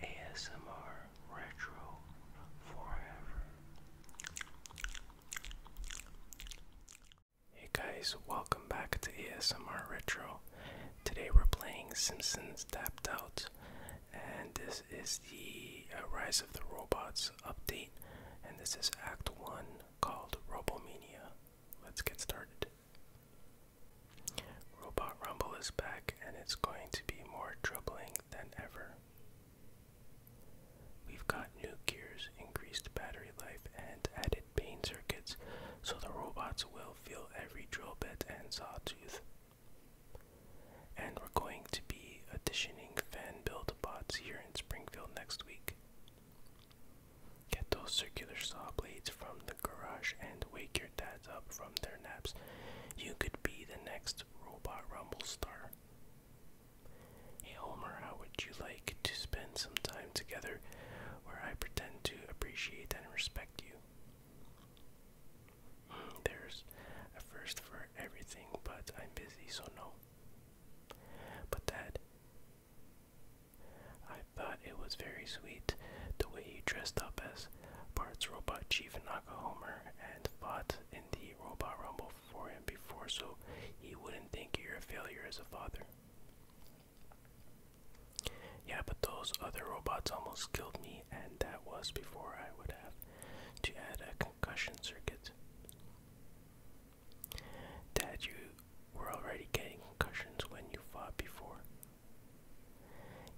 ASMR Retro Hey guys, welcome back to ASMR Retro. Today we're playing Simpsons Tapped Out, and this is the uh, Rise of the Robots update, and this is Act 1 called Robomania. Let's get started. Robot Rumble is back and it's going to be more troubling than ever. We've got new gears, increased battery life, and added pain circuits, so the robots will feel every drill bit and saw tooth. And we're going to be auditioning fan build bots here in Springfield next week. Get those circular saw blades from the garage and wake your your dads up from their naps. You could be the next Robot Rumble star. Hey Homer, how would you like to spend some time together where I pretend to appreciate and respect you? Hmm, there's a first for everything, but I'm busy, so no. But Dad, thought it was very sweet the way he dressed up as Bart's robot chief Nakahomer and fought in the Robot Rumble for him before so he wouldn't think you're a failure as a father. Yeah, but those other robots almost killed me, and that was before I would have to add a concussion circuit. Dad, you were already getting concussions when you fought before.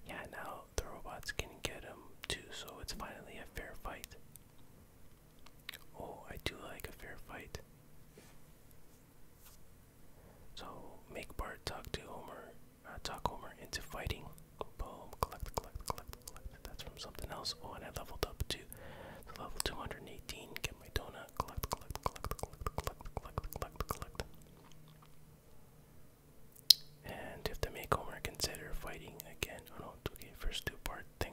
Yeah, now the robots can get him too, so it's finally a fair fight. Oh, I do like a fair fight. So make Bart talk to Homer, uh, talk Homer into fighting. Boom, collect, collect, collect, collect. That's from something else. Oh, and I leveled up to so level 218. Get my donut. Collect, collect, collect, collect, collect, collect, collect, collect. And if the Homer consider fighting again, oh no, okay, first two part thing,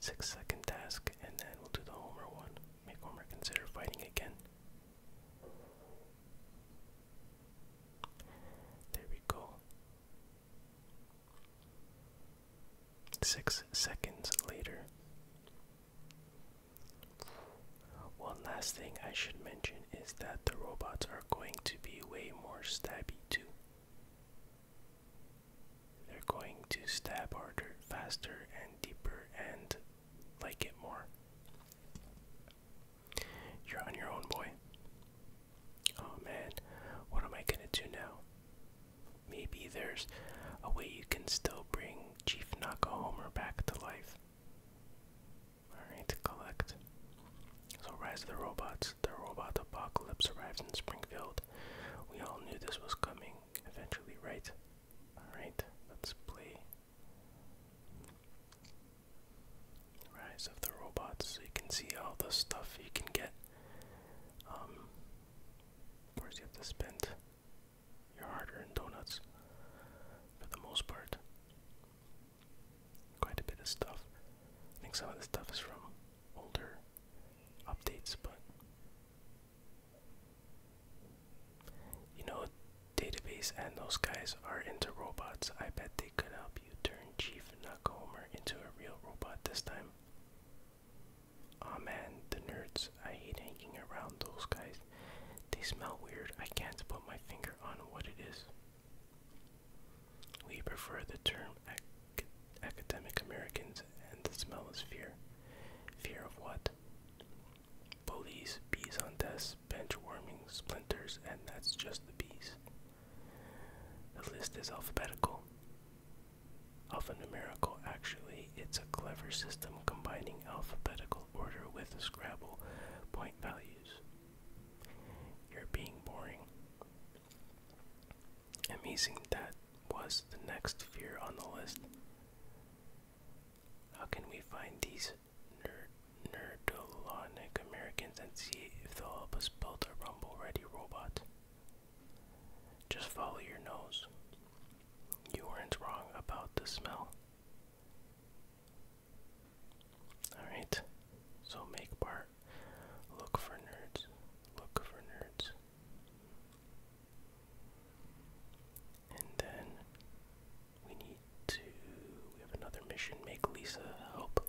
six second task, and then we'll do the Homer one. Makeover consider fighting again. There we go. Six seconds later. One last thing I should mention is that the robots are going to be way more stabby too. They're going to stab harder, faster, and deeper, and like it more. You're on your own, boy. Oh man, what am I gonna do now? Maybe there's a way you can still bring Chief Homer back to life. Alright, collect. So, Rise of the Robots. The robot apocalypse arrives in Springfield. We all knew this was coming eventually, right? Alright, let's play Rise of the Robots. So, you can see all the stuff you can get. Um, of you have to spend your harder than donuts for the most part. Quite a bit of stuff. I think some of the stuff is from older updates, but you know, database and those guys are into robots. I bet they could help you turn Chief Nakahomer into a real robot this time. Aw the nerds. I hate hanging around those guys. They smell weird. I can't put my finger on what it is. We prefer the term academic Americans, and the smell is fear. Fear of what? Bullies, bees on desks, bench warming, splinters, and that's just the bees. The list is alphabetical. Alphanumerical, actually, it's a clever system combining alphabetical order with Scrabble point values. You're being boring. Amazing that was the next fear on the list. How can we find these ner nerdolonic Americans and see if they'll help us build a rumble ready robot? Just follow your nose. You weren't wrong about the smell. Alright, so make part. Look for nerds. Look for nerds. And then we need to. We have another mission. Make Lisa help.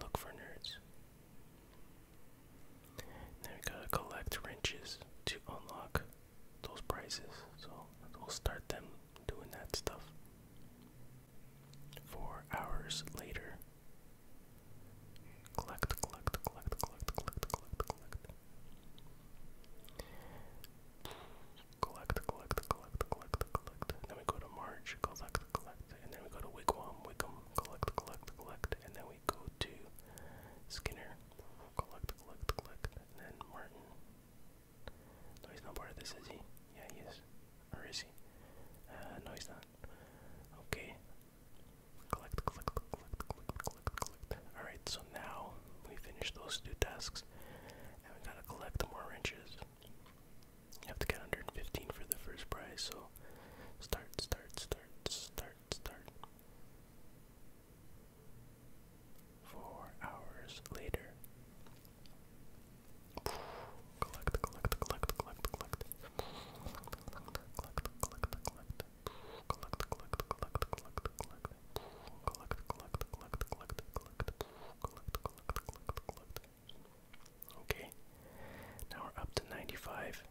Look for nerds. Then we gotta collect wrenches to unlock those prices. So we'll start them doing that stuff. Four hours later. Collect, collect, collect, collect, collect, collect, collect. Collect, collect, collect, collect, collect. Then we go to March, collect, collect. And then we go to Wigwam, Wickham, collect, collect, collect. And then we go to Skinner, Collect, collect, collect. then Martin. No, he's not part of this, is he? Yeah, he is. Or is he? Uh, no, he's not. Okay. Collect, collect, collect, collect, collect, collect. Alright, so now we finish those two tasks. And we gotta collect more wrenches. You have to get 115 for the first prize, so start, start, start, start start, Four hours later. Collect, collect, collect, collect, collect. Collect, collect, collect. Collect, collect, collect, collect, collect. Collect, collect, collect, collect, collect. Collect, collect, collect, collect. Okay. Now we're up to 95.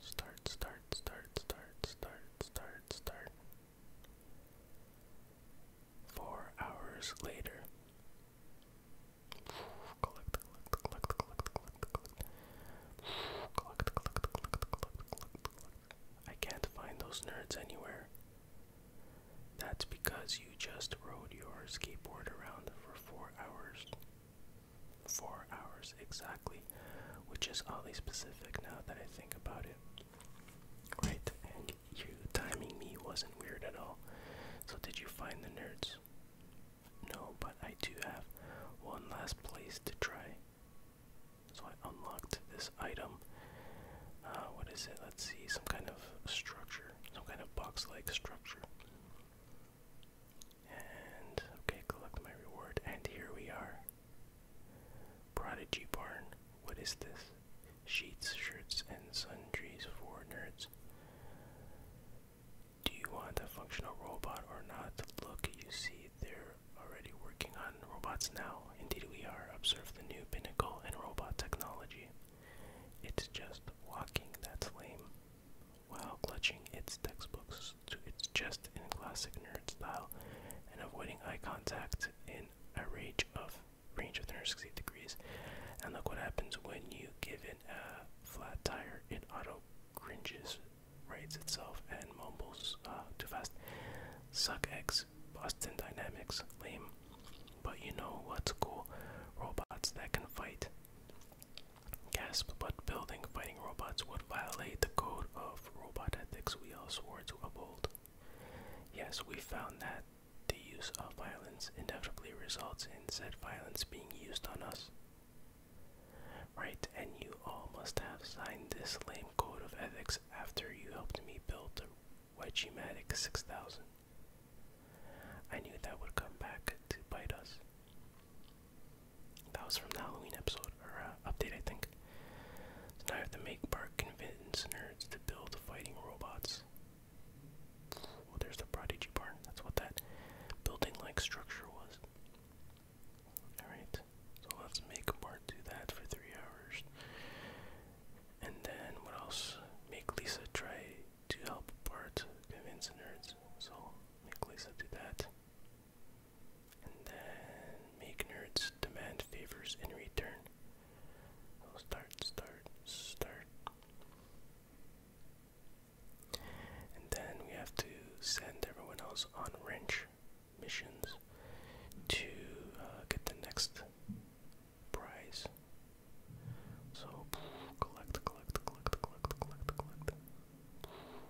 Start, start, start, start, start, start, start. Four hours later. I can't find those nerds anywhere. That's because you just rode your skateboard around for four hours. Four hours exactly, which is oddly specific now that I think about it. Right, and you timing me wasn't weird at all. So, did you find the nerds? No, but I do have one last place to try. So, I unlocked this item. Uh, what is it? Let's see, some kind of structure, some kind of box like structure. And okay, collect my reward, and here we are. Prodigy Barn. What is this? Sheets, shirts, and sundries for nerds. Do you want a functional robot or not? Look, you see, they're already working on robots now. Indeed, we are. Observe the new pinnacle in robot technology. It's just walking, that's lame. While clutching its textbooks its just in classic nerd style and avoiding eye contact in a range of range of 360 degrees. And look what happens when you give it a flat tire. It auto cringes, rates itself, and mumbles uh, too fast. Suck X, Boston Dynamics, lame. But you know what's cool? Robots that can fight. Gasp, but building fighting robots would violate the code of of robot ethics we all swore to uphold. Yes, we found that the use of violence inevitably results in said violence being used on us. Right, and you all must have signed this lame code of ethics after you helped me build the Wedgiematic 6000. I knew that would come back to bite us. That was from the Halloween episode, or uh, update, I think. So now I have to make Bart convince nerds to build fighting robots. Well, there's the Prodigy Barn. That's what that building like structure was. Alright, so let's make Bart do that for three hours. And then, what else? Make Lisa try to help Bart convince nerds. So, make Lisa do that. And then make nerds demand favors in return. start, start, start. And then we have to send everyone else on wrench missions to uh, get the next prize. So collect, collect, collect, collect, collect, collect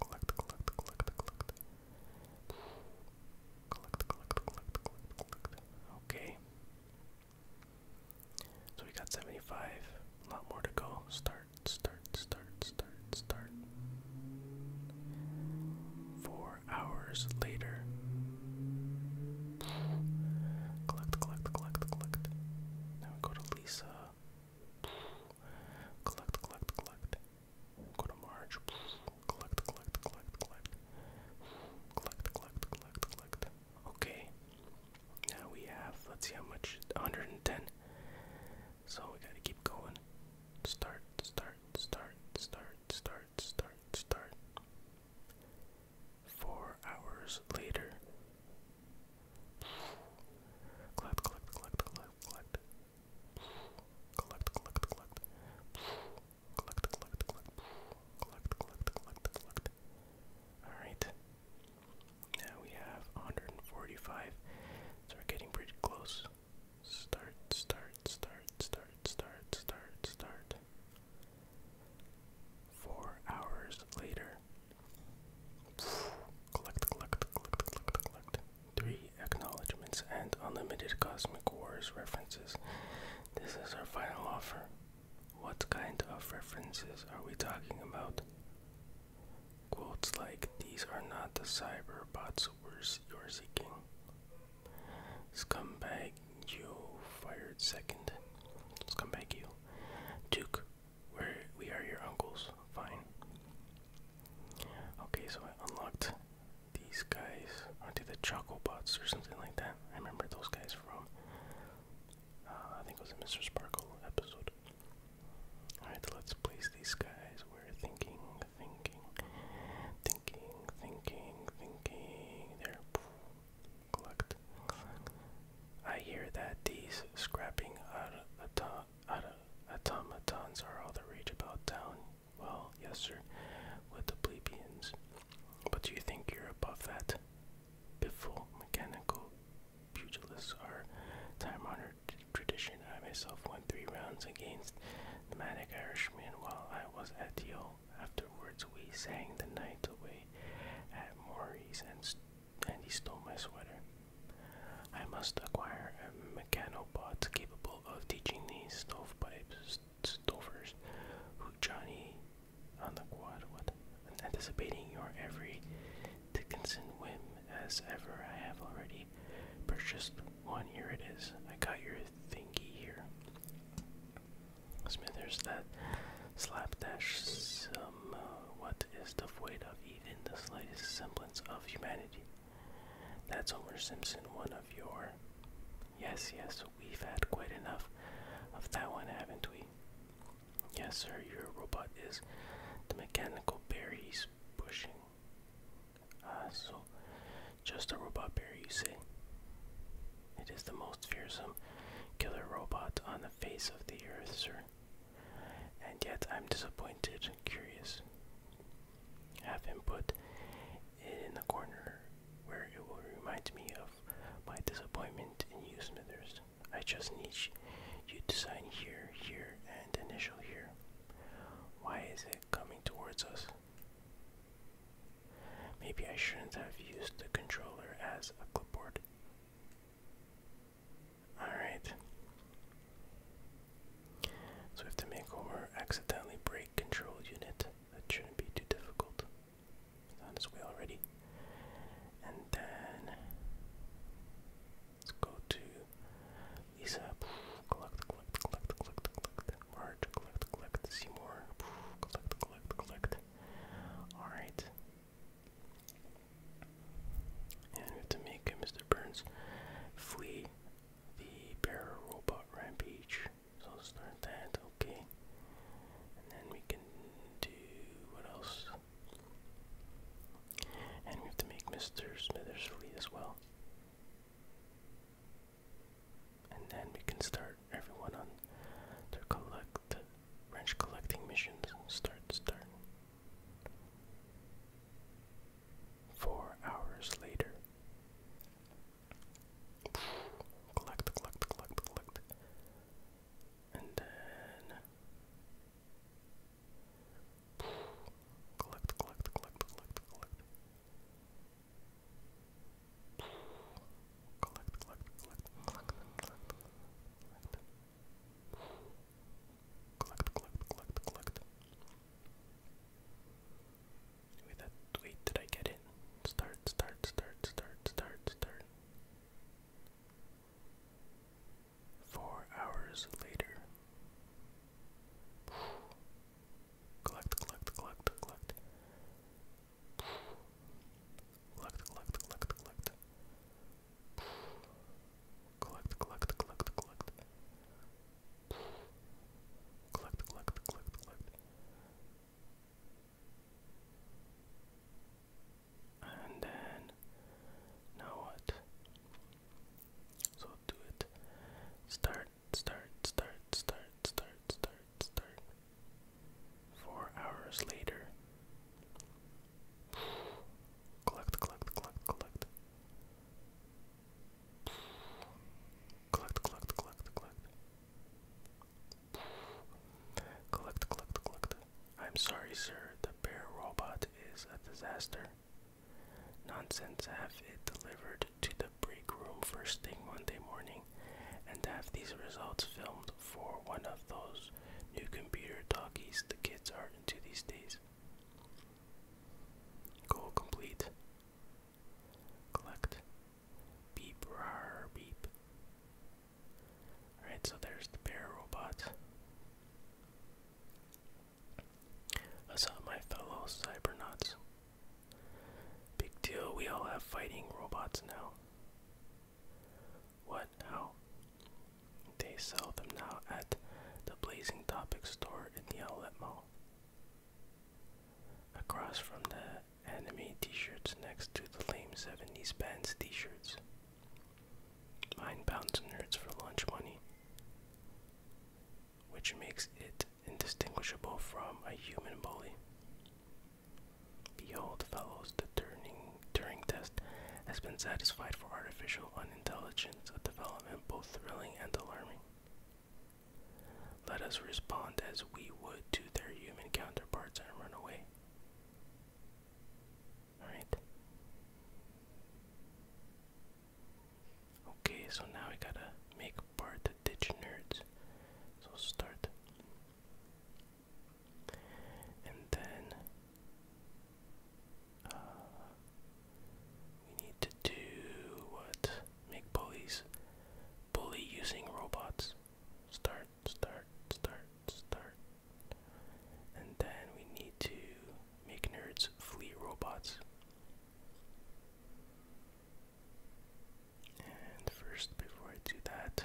Collect, collect, collect, collect. Collect, collect, collect, collect, collect. Okay. So we got 75. A lot more to go. Start, start, start, start, start. Four hours later. Collect, collect, collect, collect. Now we go to Lisa. Collect, collect, collect. Go to March. Collect, collect, collect, collect. Collect, collect, collect, collect. Okay. Now we have, let's see how much, 110. So we gotta keep going. Start, start, start, start, start, start, start. Four hours later. Collect, collect, collect, collect, collect. Collect, collect, collect. Collect, collect, collect. Collect, collect, collect, collect. Alright. Now we have 145. So we're getting pretty close. Start, start, start, start, start, start, start. Four hours later. Collect, collect, collect, collect, collect. Three acknowledgements and unlimited Cosmic Wars references. This is our final offer. What kind of references are we talking about? Quotes like, These are not the cyberbots wars you're seeking. Scumbag, you fired second. Scumbag, you. Duke, we're, we are your uncles. Fine. Okay, so I unlocked these guys. I did the Chocobots or something like that. I remember those guys from. Uh, I think it was a Mr. Sparkle episode. Alright, let's place these guys. We're thinking, thinking, thinking, thinking, thinking. They're Collect. I hear that these scrapping are the top. Uh, automatons are all the rage about town. Well, yes, sir, with the plebeians. But do you think you're above that? Piffle mechanical pugilists are time honored tradition. I myself won three rounds against the manic Irishman while I was at Yale. Afterwards, we sang the night away at Morris and and he stole my sweater. I must acquire a mechanopod capable of teaching these stovepipes stovers who Johnny on the quad What? anticipating your every Dickinson whim as ever I have already purchased one here it is. I got your thingy here. Smithers that slapdash sil um, what is devoid of even the slightest semblance of humanity. That's Homer Simpson, one of your. Yes, yes, we've had quite enough of that one, haven't we? Yes, sir, your robot is the mechanical bear he's pushing. Ah, so just a robot bear, you say? It is the most fearsome killer robot on the face of the earth, sir. And yet I'm disappointed, curious. Have him put in the corner where it will remind me of my disappointment in you, Smithers. I just need you to sign here, here, and initial here. Why is it coming towards us? Maybe I shouldn't have used the controller as a clipboard. Alright. So we have to make over accidentally brake control unit. That shouldn't be too difficult. It's on its way already. And then let's go to Lisa. Collect, collect, collect, collect, collect. Marge, collect, collect. Seymour. Collect, collect, collect. Alright. And we have to make Mr. Burns flee the bear robot rampage. So let's start that, okay. And then we can do what else? And we have to make Mr. Smithers flee as well. And then we can start everyone on their collect wrench collecting missions. Start, start. Four hours later. collect, collect, collect, collect. And then. collect, collect, collect, collect. Collect, collect, collect, collect, collect, collect. Collect, collect, collect, collect. Wait, that, wait, did I get in? Start, start, start, start, start, start. Four hours later. collect, collect, collect, collect. Collect, collect, collect, collect. Collect, collect, collect, collect. Collect, collect, collect, collect. And then, now what? So do it. Start, start, start, start, start, start, start. Four hours later. Collect, collect, collect, collect. Collect, collect, collect, collect. Collect, collect, collect. I'm sorry, sir. The bear robot is a disaster. Nonsense. Have it delivered to the break room first thing Monday morning, and have these results filmed for one of those New computer talkies the kids are into these days. Goal complete. Collect. Beep, rar, beep. Alright, so there's the bear robot. I my fellow cybernauts. Big deal, we all have fighting robots now. What? How? They sell them now at the Blazing Topic store in the outlet mall. Across from the anime t shirts, next to the lame 70s bands t shirts. Mine bouncing nerds for lunch money, which makes it indistinguishable from a human bully. Behold, fellows, the Turing, test has been satisfied for artificial unintelligence, a development both thrilling and alarming. Let us respond as we would to their human counterparts and run away. Alright. Okay, so now we gotta make part the ditch nerds. So start. And then uh, we need to do what? Make bullies. Bully using robots. Start, start, start, start. And then we need to make nerds flee robots. And first, before I do that,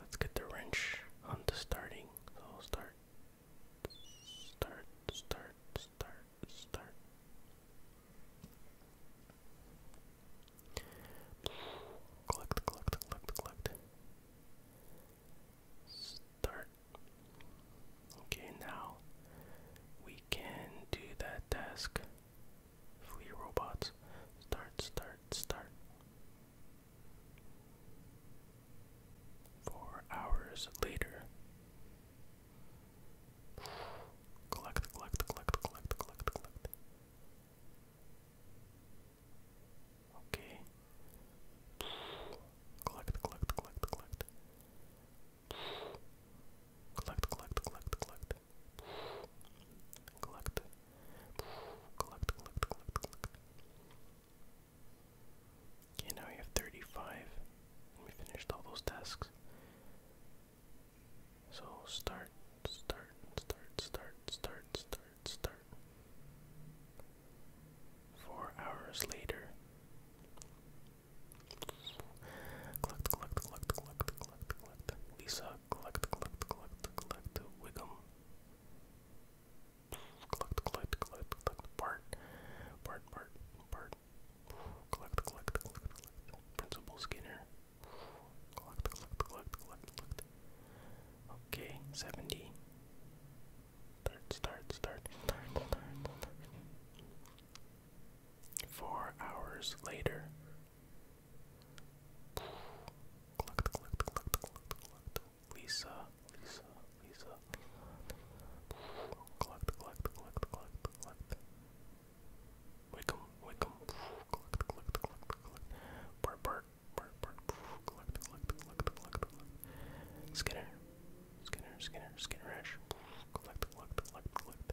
Let's get the wrench on the starting. So i start, start, start, start, start. Collect, collect, collect, collect. Start. Okay, now we can do that task Flee robots. Start, start, start. Four hours later. Collect, collect, collect, collect, collect, collect. Okay. Collect, collect, collect, collect. Collect, collect, collect, collect collect, collect, collect, collect, collect, collect. Okay, now we have 35. And we finished all those tasks. So start, start, start, start, start, start, start. Four hours later. Collect, collect, collect, collect, collect, collect. Lisa collect, collect, collect, collect, Wiggum. Collect, collect, collect, collect, Bart. Bart, Bart, Bart. Collect, collect, collect, collect. Principal Skinner. Collect, collect, collect, collect, Okay, 70. start, start, start, start. Four hours later. Collect, collect, collect, collect, collect. Lisa, Lisa, Lisa. Collect, collect, collect, collect, collect. Wickham, Wickham. Collect, collect, collect, collect. Bart, Bart, Bart, Bart. Collect, collect, collect, collect, collect. Skinner, Skinner, Skinner, Skinnerish. Collect, collect, collect, collect.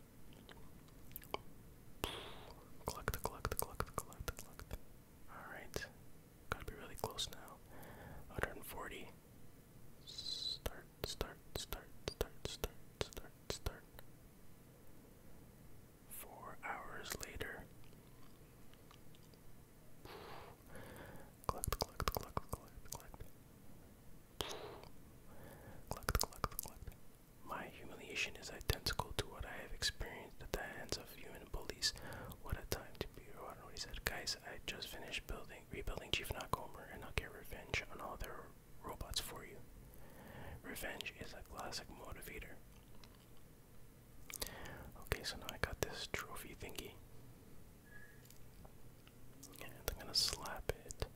Collect, collect, collect, collect, collect. Alright. Gotta be really close now. 140. Start, start, start, start, start, start, start. Four hours later. Collect, collect, collect, collect, collect. Clucked, clucked, clucked. My humiliation is identical to what I have experienced at the hands of human police. What a time to be what he said. Guys, I just finished building rebuilding Chief Knockhomer and I'll get revenge on all their robots for you. Revenge is a classic motivator. Okay, so now I got this trophy thingy. I'm gonna slap it.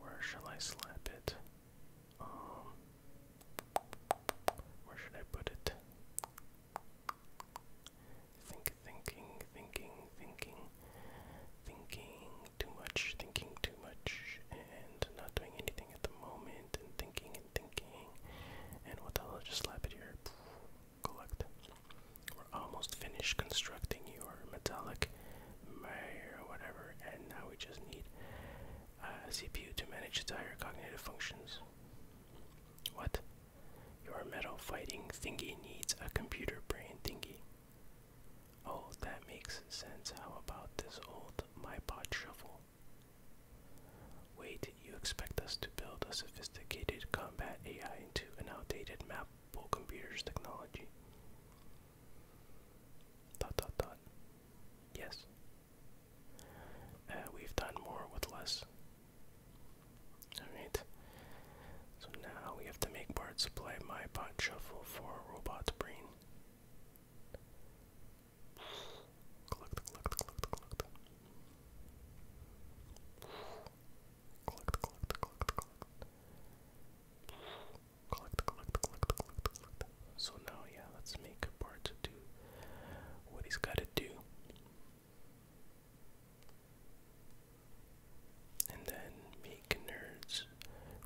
Where shall I slap it? Um, where should I put it? Think, thinking, thinking, thinking, thinking too much, thinking too much, and not doing anything at the moment, and thinking and thinking. And what the hell? Just slap it here. Collect. We're almost finished constructing your metallic mayor or whatever, and now we just need a CPU to manage its higher cognitive functions. What? Your metal fighting thingy needs a computer brain thingy. Oh, that makes sense. How about this old my pot shovel? Wait, you expect us to build a sophisticated combat AI into an outdated map pull computers technology. Dot dot dot. Yes. Uh, we've done more with less. Alright. So now we have to make Bart supply my bot shuffle for robot's brain. Collect, collect, collect, collect. Collect, collect, collect, collect, collect. So now, yeah, let's make a part to do what he's got to do. And then make nerds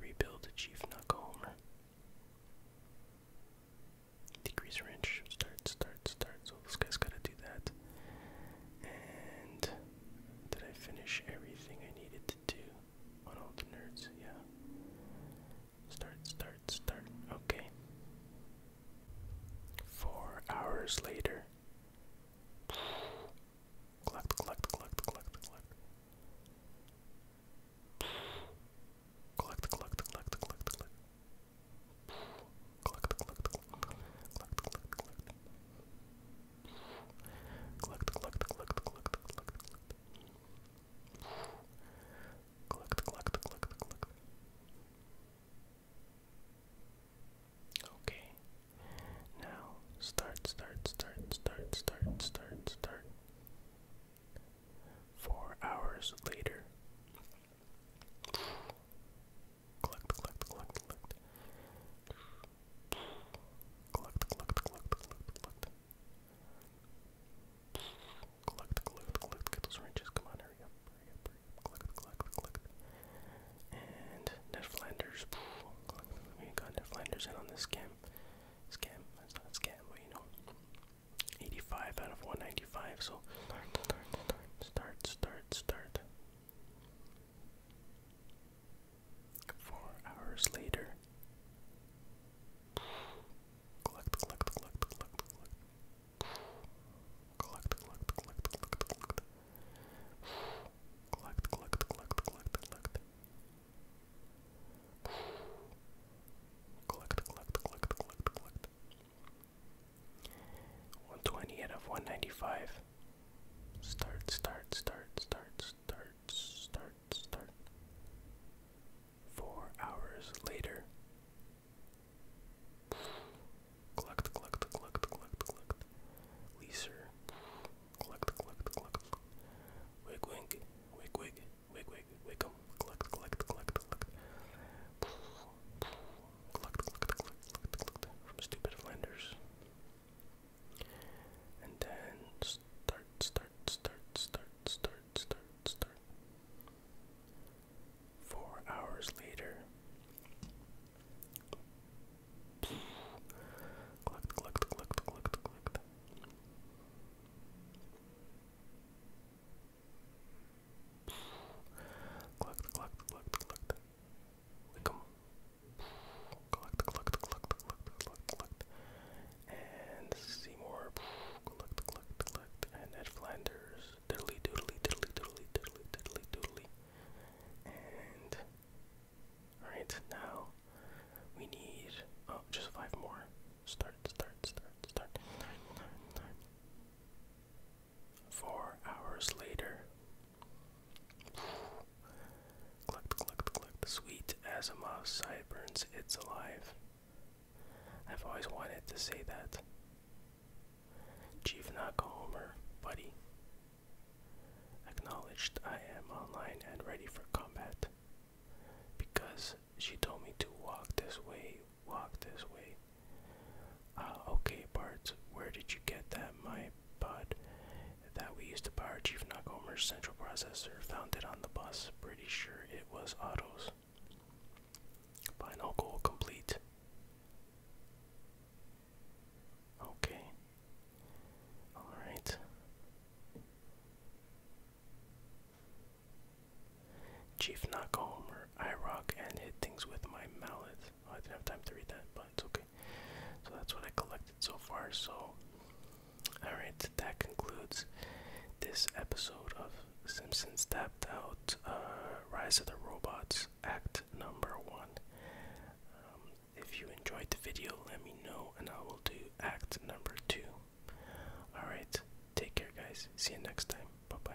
rebuild Chief Knucklehomer. Decrease wrench, start, start, start. So this guy's got to do that. And did I finish everything I needed to do on all the nerds? Yeah. Start, start, start. Okay. Four hours later. Collect, collect, collect, collect, collect. Collect, collect, collect, collect, collect. Collect, collect, collect, collect, collect, collect. Collect, collect, collect, collect, collect, collect. Collect, collect, collect, Okay. Now start, start, start, start, start, start, start. Four hours later. Collect, collect, collect, collect. Collect, collect, collect, collect, collect. Collect, get those wrenches. Come on, hurry up, hurry up, hurry up. Collect, collect, collect. And Ned Flanders. We got Ned in on this scam. Scam, scam, but know. 85 out of 195, so start, start, start, start, start. Four hours later. Collect, collect, collect, collect, collect. Collect, collect, collect, collect, collect. Collect, collect, collect, collect, collect. Collect, collect, collect, collect, collect. 120 out of 195. Start, start, start, start, start, start, start. Four hours later. Clucked, clucked, clucked, clucked, clucked. Leaser. Clucked, clucked, clucked. Wig, wig, wig, wig, wig, wig, wig, clucked, clucked, clucked, clucked stupid Flanders. And then start, start, start, start, start, start, start. Four hours later. Clucked, clucked, clucked, clucked, clucked. Clucked, clucked, clucked, clucked. Come collect, collect, collect, collect, collect, collect, and Seymour, collect, collect, collect, and Ed Flanders, diddly doodly, diddly doodly, diddly diddly doodly, and alright, now we need, oh, just five more, start, start, start, start. Four hours later. Clucked, clucked, clucked. Sweet Asimov's sideburns, it's alive. I've always wanted to say that. Chief Nakahomer, buddy. Acknowledged I am online and ready for combat. Because she told me to walk this way, walk this way. Ah, okay, Bart, where did you get that, my bud? That we used to power Chief Nagomer's central processor. Found it on the bus. Pretty sure it was Otto's. Final goal complete. Okay. Alright. Chief Knock I rock and hit things with my mallet. I didn't have time to read that, but it's okay. So that's what I collected so far. So, alright, that concludes this episode of Simpsons Tapped Out uh, Rise of the Robots, Act Number 1. Um, if you enjoyed the video, let me know and I will do Act Number 2. Alright, take care, guys. See you next time. Bye bye.